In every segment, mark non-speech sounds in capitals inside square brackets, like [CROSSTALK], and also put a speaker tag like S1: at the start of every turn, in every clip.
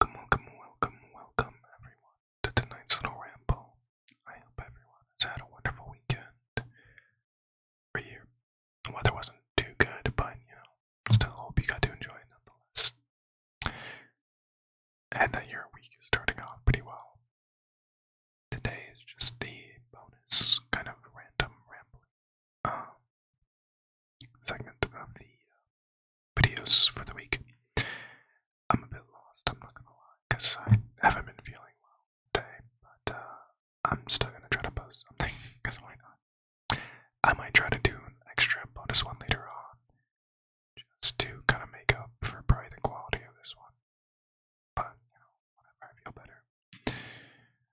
S1: Welcome, welcome, welcome, welcome everyone to tonight's little ramble. I hope everyone has had a wonderful weekend. For you, the weather wasn't too good, but you know, still hope you got to enjoy it nonetheless. And that your week is starting off pretty well. Today is just the bonus kind of random ramble. Um, segment of the uh, videos for the week. I'm a bit lost, I'm not gonna lie, because I haven't been feeling well today, but uh, I'm still gonna try to post something, because [LAUGHS] why not? I might try to do an extra bonus one later on, just to kind of make up for probably the quality of this one. But, you know, whenever I feel better.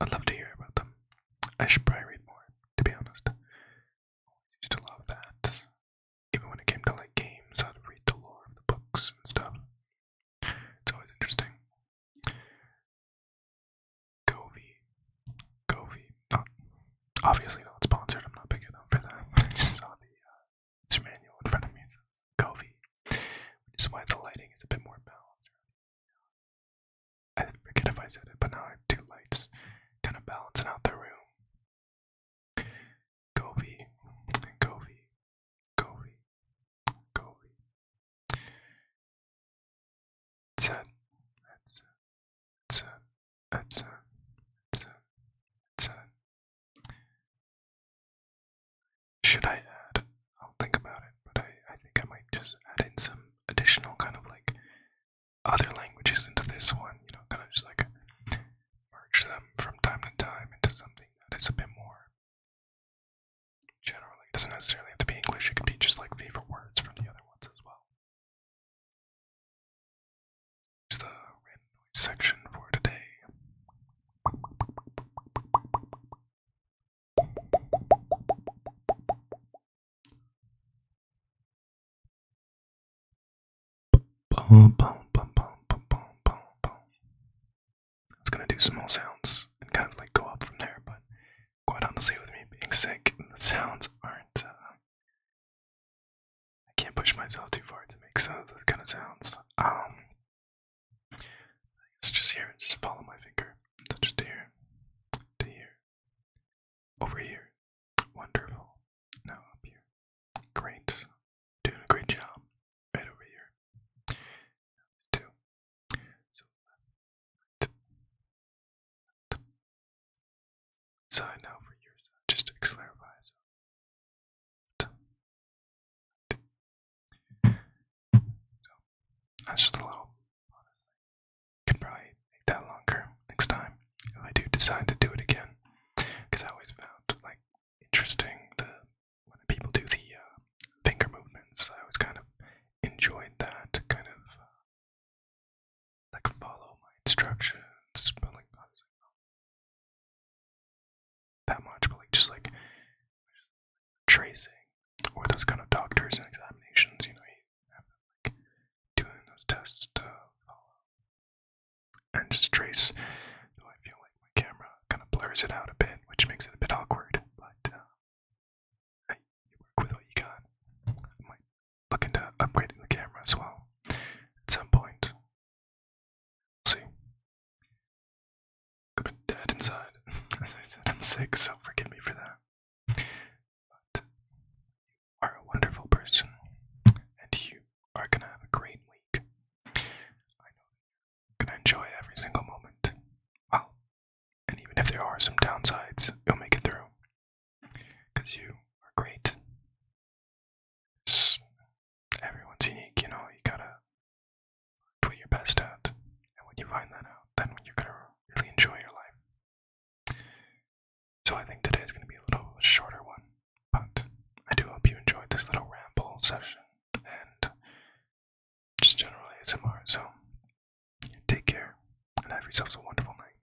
S1: I'd love to hear about them. I should probably read more, to be honest. used to love that. Even when it came to like games, I'd read the lore of the books and stuff. It's always interesting. Govee. Govee. obviously not sponsored, I'm not big enough for that. [LAUGHS] just saw the uh, manual in front of me. So Which is why the lighting is a bit more balanced I forget if I said it, but now I have two lights kind of balancing out the room. Govey, Govey, Govey, Govey. Headset, headset, headset, headset, headset, headset. Should I add? I'll think about it, but I, think I might just add in some additional kind of like other languages into this one, you know, kind of just like merge them from time to time into something that is a bit more generally. It doesn't necessarily have to be English, it could be just like favorite words from the other ones as well. It's the random noise section for today. I was gonna do some more sounds and kind of like go up from there, but quite honestly, with me being sick, the sounds aren't. Uh, I can't push myself too far to make those kind of sounds. Um, it's just here. Just follow my finger. Touch it here. To here. Over here. Wonderful. Now up here. Great. Doing a great job. Right over here. Two. So now for your side. Just clarify that's just a little, Could probably make that longer next time if I do decide to do it again. Because I always found like interesting the when people do the uh, finger movements. I always kind of enjoyed that kind of uh, like follow my instructions, but that much, but like just like tracing or those kind of doctors and examinations, you know, you have them like doing those tests and just trace. Though I feel like my camera kind of blurs it out a bit, which makes it a bit awkward, but uh, I work with what you got. I might look into upgrading the camera as well at some point see. I've been dead inside. [LAUGHS] As I said, I'm sick, so forgive me for that. But you are a wonderful person, and you are gonna have a great week. I know gonna enjoy every single moment. Well, and even if there are some downsides, you'll make it through. you are great, everyone's unique, you know, you gotta put your best at, And when you find that out, then when you're gonna really enjoy your life. So I think today is gonna be a little shorter one, but I do hope you enjoyed this little ramble session and just general ASMR. So take care and have yourselves a wonderful night.